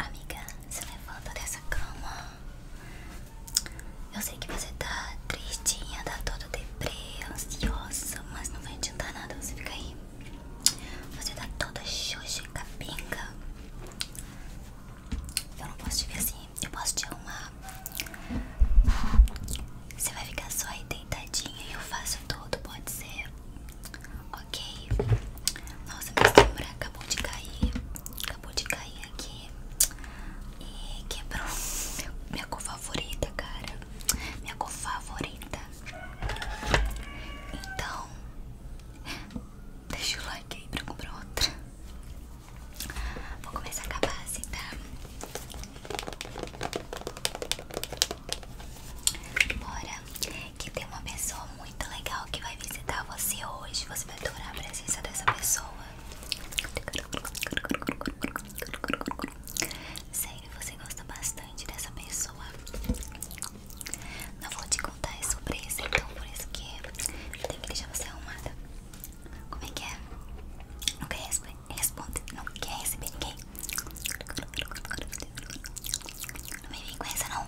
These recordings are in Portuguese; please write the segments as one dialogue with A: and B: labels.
A: Amiga, se levanta dessa cama. Eu sei que você tá tristinha, tá toda deprê, ansiosa, mas não vai adiantar nada você ficar aí. Você tá toda xoxa e capenga. Eu não posso te ver assim, eu posso te amar. Você vai ficar só aí deitadinha e eu faço tudo, pode ser? Ok. Nossa, minha sombra acabou de cair. Acabou de cair aqui. E quebrou minha cor favorita, cara. Minha cor favorita. Então, deixa o like aí pra comprar outra. Vou começar com a base, tá? Bora que tem uma pessoa muito legal que vai visitar você hoje. Você vai adorar a presença dessa pessoa. Sério, você gosta bastante dessa pessoa. Não vou te contar, é sobre isso então por isso que eu tenho que deixar você arrumada. Como é que é? Não quer responder? Responde. Não quer receber ninguém? Não me vem com essa não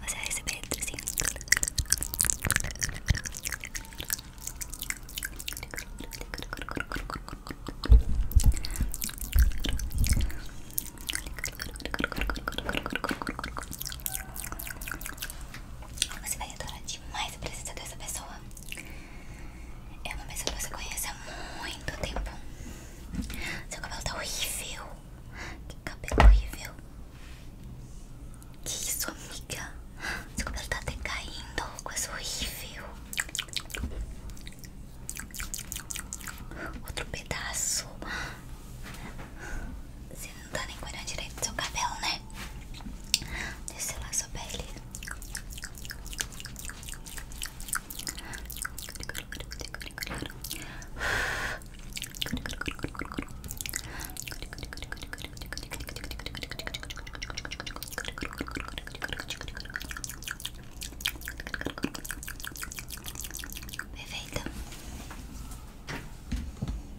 A: Você vai receber assim você vai adorar demais a presença dessa pessoa. É uma pessoa que você conhece há muito tempo. Seu cabelo tá horrível. Que cabelo horrível. Que isso, amiga? Seu cabelo tá até caindo. Coisa horrível. Outro pedaço. Seu não tá nem cuidando direito do seu cabelo, né? Deixa lá a pele. Perfeita.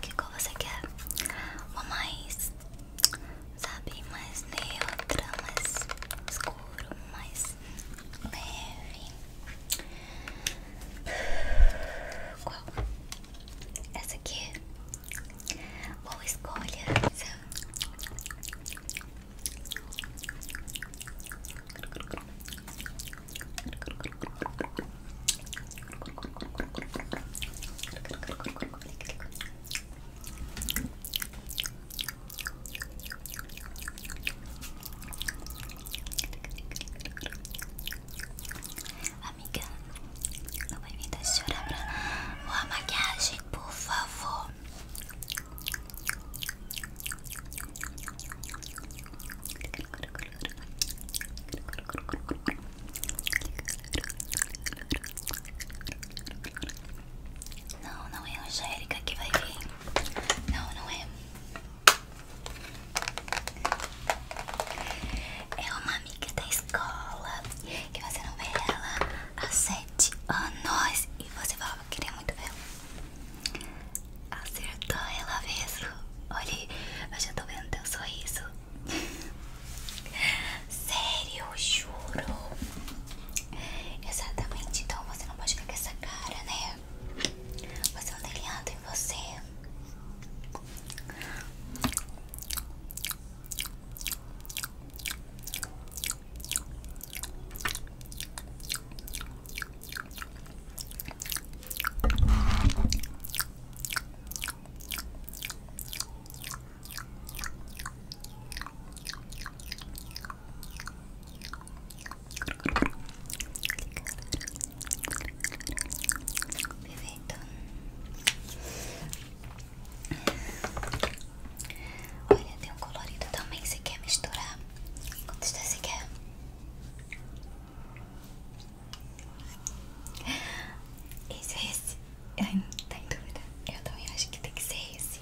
A: Que cor você quer? Uma mais, sabe, mais neutra, mais escuro, mais leve. Qual? Essa aqui? Boa escolha. Amiga, não vai me deixar chorar pra boa maquiagem, por favor. Não, não é Angélica que vai vir. Não, não é. É uma amiga da escola que você não vê ela às sete anos e você fala que queria muito ver. Acertou ela mesmo. Olha, eu já tô vendo teu sorriso. Sério, juro. Exatamente, então você não pode ficar com essa cara, né? Você é um deliado em você. Perfeito. Olha, tem um colorido também. Você quer misturar? Quantos você quer? Esse é esse? Ai, não tá em dúvida. Eu também acho que tem que ser esse.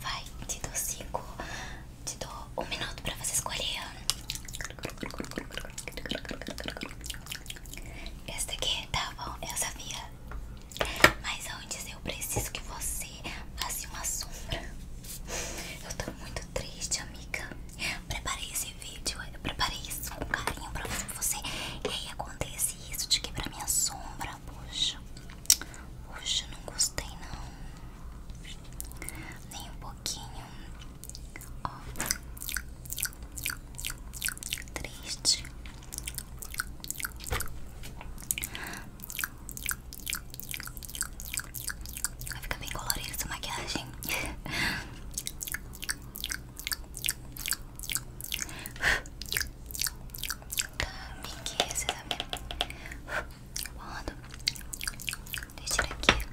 A: Vai, te dou cinco. Te dou um minuto pra você escolher. Esse daqui tá bom, eu sabia. Mas antes eu preciso que você faça uma sombra. Eu tô muito triste, amiga. Preparei esse vídeo, eu preparei isso com carinho pra você. E aí acontece isso de quebrar minha sombra. Poxa, poxa, não gostei não. Nem um pouquinho. Ó. Triste. Vai ficar bem colorido essa maquiagem. Tá, pique esse da minha. Boando. Deixa eu tirar aqui.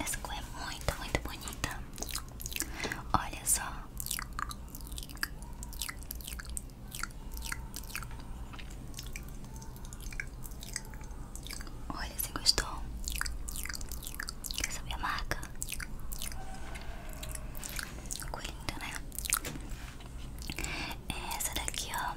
A: Essa cor é muito, muito bonita. Olha só. Olha, se gostou? Quer saber a marca? Ficou linda, né? Essa daqui, ó.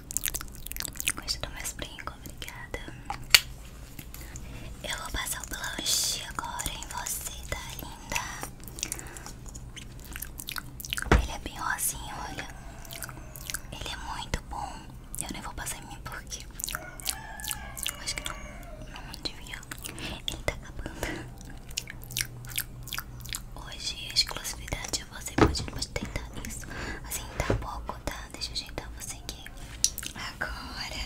A: Hoje do meus brincos, obrigada. Eu vou passar o blush agora em você, tá linda? Ele é bem rosinho, olha. Ele é muito bom. Eu nem vou passar em mim porque. Eu acho que não, não devia. Ele tá acabando. Hoje a exclusividade você, pode, pode tentar isso. Assim, tá pouco, tá? Deixa eu ajeitar você aqui. Agora.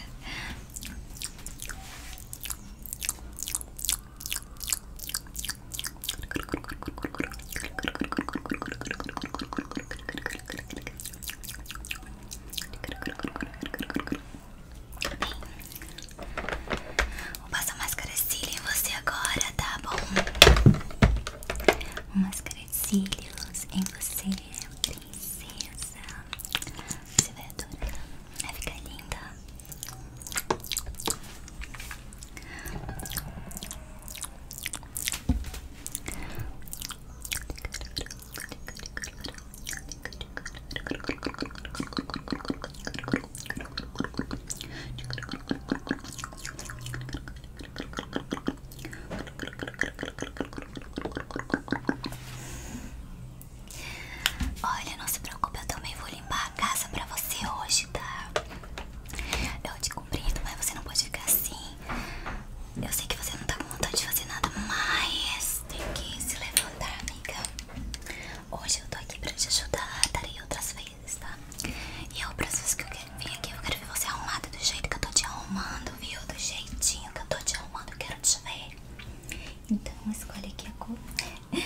A: Vou passar máscara cílio em você agora, tá bom? máscara de cílios em você, princesa. Você vai adorar, vai ficar linda. Olha, não se preocupe, eu também vou limpar a casa pra você hoje, tá? Eu te cumprindo, mas você não pode ficar assim. Eu sei que você não tá com vontade de fazer nada, mas tem que se levantar, amiga. Hoje eu tô aqui pra te ajudar, darei outras vezes país, tá? E é o processo que eu quero vir aqui. Eu quero ver você arrumada do jeito que eu tô te arrumando, viu? Do jeitinho que eu tô te arrumando. Eu quero te ver. Então, escolhe aqui a cor.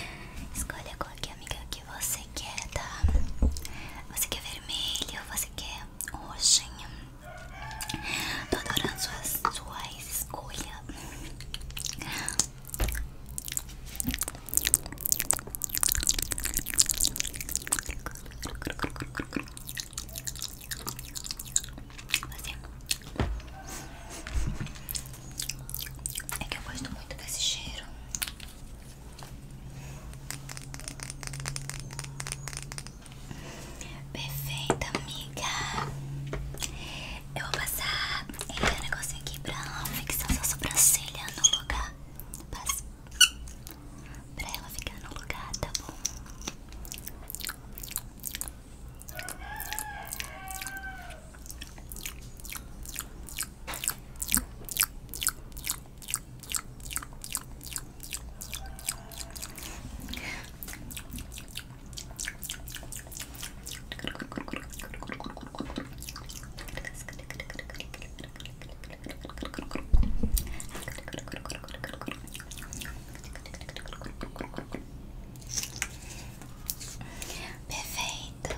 A: Escolhe a cor que, amiga, que você quer, tá? Você quer vermelho? Você quer roxinha Tô adorando suas, suas escolhas. Assim. É que eu gosto muito desse cheiro. Perfeita, amiga. Eu vou passar esse negócio aqui pra fixar sua sobrancelha no lugar pra ela ficar no lugar, tá bom? Perfeito.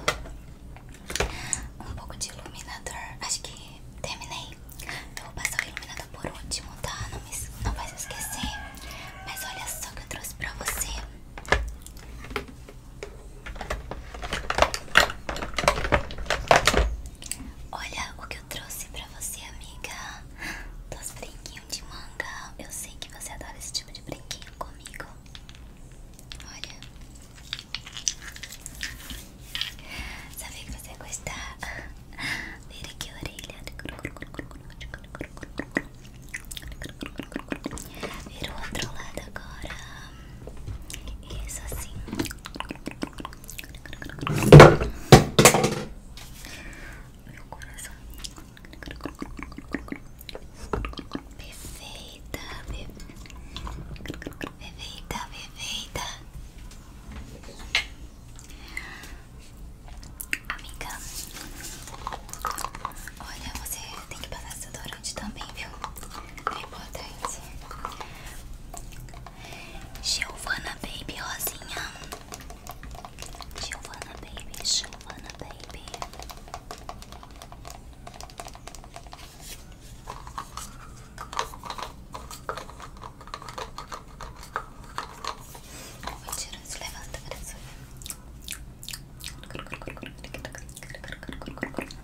A: Um pouco de iluminador. Acho que terminei. Eu vou passar o iluminador por último, tá? Não, me, não vai se esquecer. Mas olha só o que eu trouxe pra você. Olha o que eu trouxe pra você, amiga. Dos brinquinhos de manga. Eu sei que você adora esse tipo de brinquinho comigo. Olha. Sabia que você ia gostar. Vira aqui a orelha. Vira o outro lado agora. Isso assim. Meu coração. Perfeita, perfeita, perfeita, Amiga, olha, você tem que passar desodorante também, viu? é importante. Giovana Baby Rosinha. Giovana Baby, Giovana Baby. Vou tirar esse levanta, parece.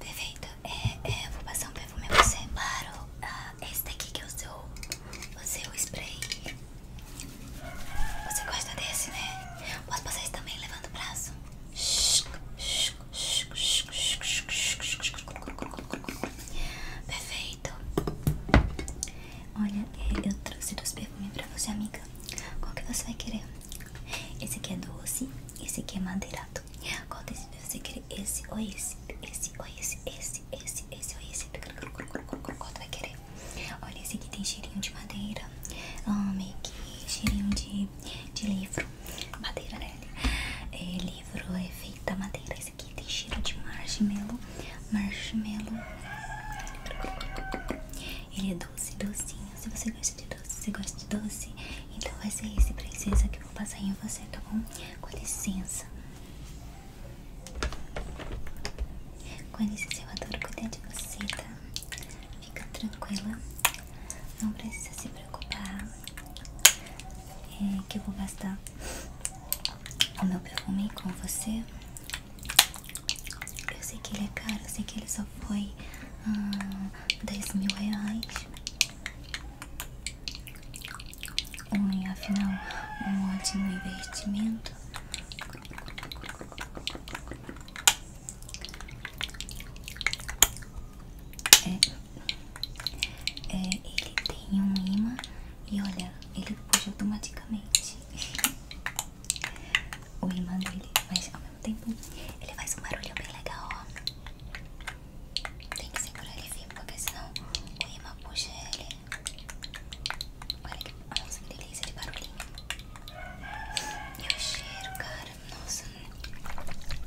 A: Perfeito, eu é, é, vou passar um perfume a você Claro, ah, esse daqui que é o seu, o spray Você gosta desse, né? Posso passar esse também, levando o braço Perfeito Olha, é, eu trouxe dois perfumes para você, amiga Qual que você vai querer? Esse aqui é doce, esse aqui é madeirado. Qual desse você quer? Esse ou esse? Esse ou esse? Esse, esse, esse ou esse? Qual tu vai querer? Olha, esse aqui tem cheirinho de madeira. meio que cheirinho de, de livro. Madeira, né? É, livro é feito da madeira. Esse aqui tem cheiro de marshmallow. Marshmallow. Ele é doce, docinho. Se você gosta de doce, se gosta de doce, então vai ser esse, princesa, que eu vou passar em você, tá bom? Com licença. Com licença, eu adoro cuidar de você, tá? Fica tranquila. Não precisa se preocupar. É que eu vou gastar o meu perfume com você. Eu sei que ele é caro, eu sei que ele só foi hum, dez mil reais. Um, afinal, um ótimo investimento. É, é, ele tem um imã e olha, ele puxa automaticamente. o imã dele, mas ao mesmo tempo ele faz um barulho bem legal, ó. Tem que segurar ele firme, porque senão o imã puxa ele. Olha que, delícia de barulhinho. E o cheiro, cara, nossa. Perfeito.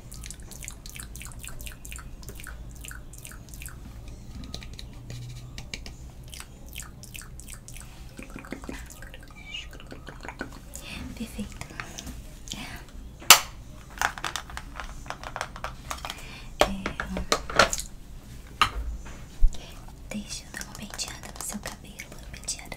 A: Perfeito. É, deixa eu dar uma penteada no seu cabelo. Penteada.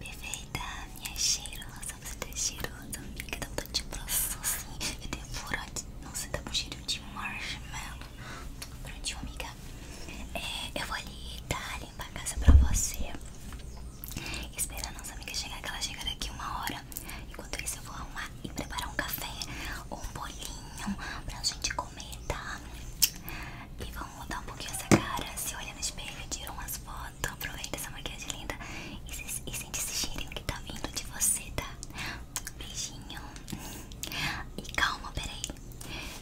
A: Perfeita, minha cheiro cheirosa, você tá cheirando amiga, dá vontade de abraçar assim, eu devoro, nossa, tá com cheiro de marshmallow. Prontinho, amiga, é, eu vou ali, tá, limpar a casa pra você, esperar a nossa amiga chegar, que ela chega daqui uma hora. Enquanto isso, eu vou arrumar e preparar um café ou um bolinho pra gente comer, tá? E vamos mudar um pouquinho essa cara, se olha no espelho, tira as fotos foto, aproveita essa maquiagem linda e, sente esse cheirinho que tá vindo de você, tá? Beijinho. E calma, peraí.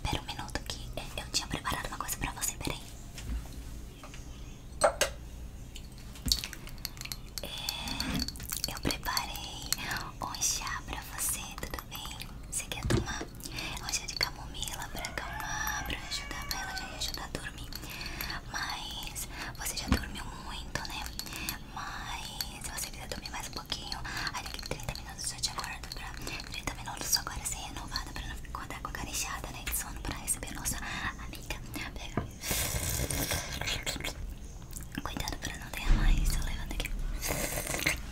A: Pera um minuto que é, eu tinha preparado uma coisa pra você, peraí. É, eu preparei um chá pra você, tudo bem? Você quer tomar? um chá é de camomila pra acalmar, pra ajudar, pra ela já ia ajudar a dormir. Mas você já dormiu muito, né? Mas se você quiser dormir mais um pouquinho, aí que 30 minutos eu te acordo pra tá? 30 minutos só agora ser renovada pra não ficar com a cara né? De sono pra receber a nossa amiga. Pega. Cuidado pra não derramar mais. levanta aqui.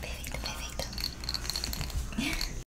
A: Perfeito, perfeito.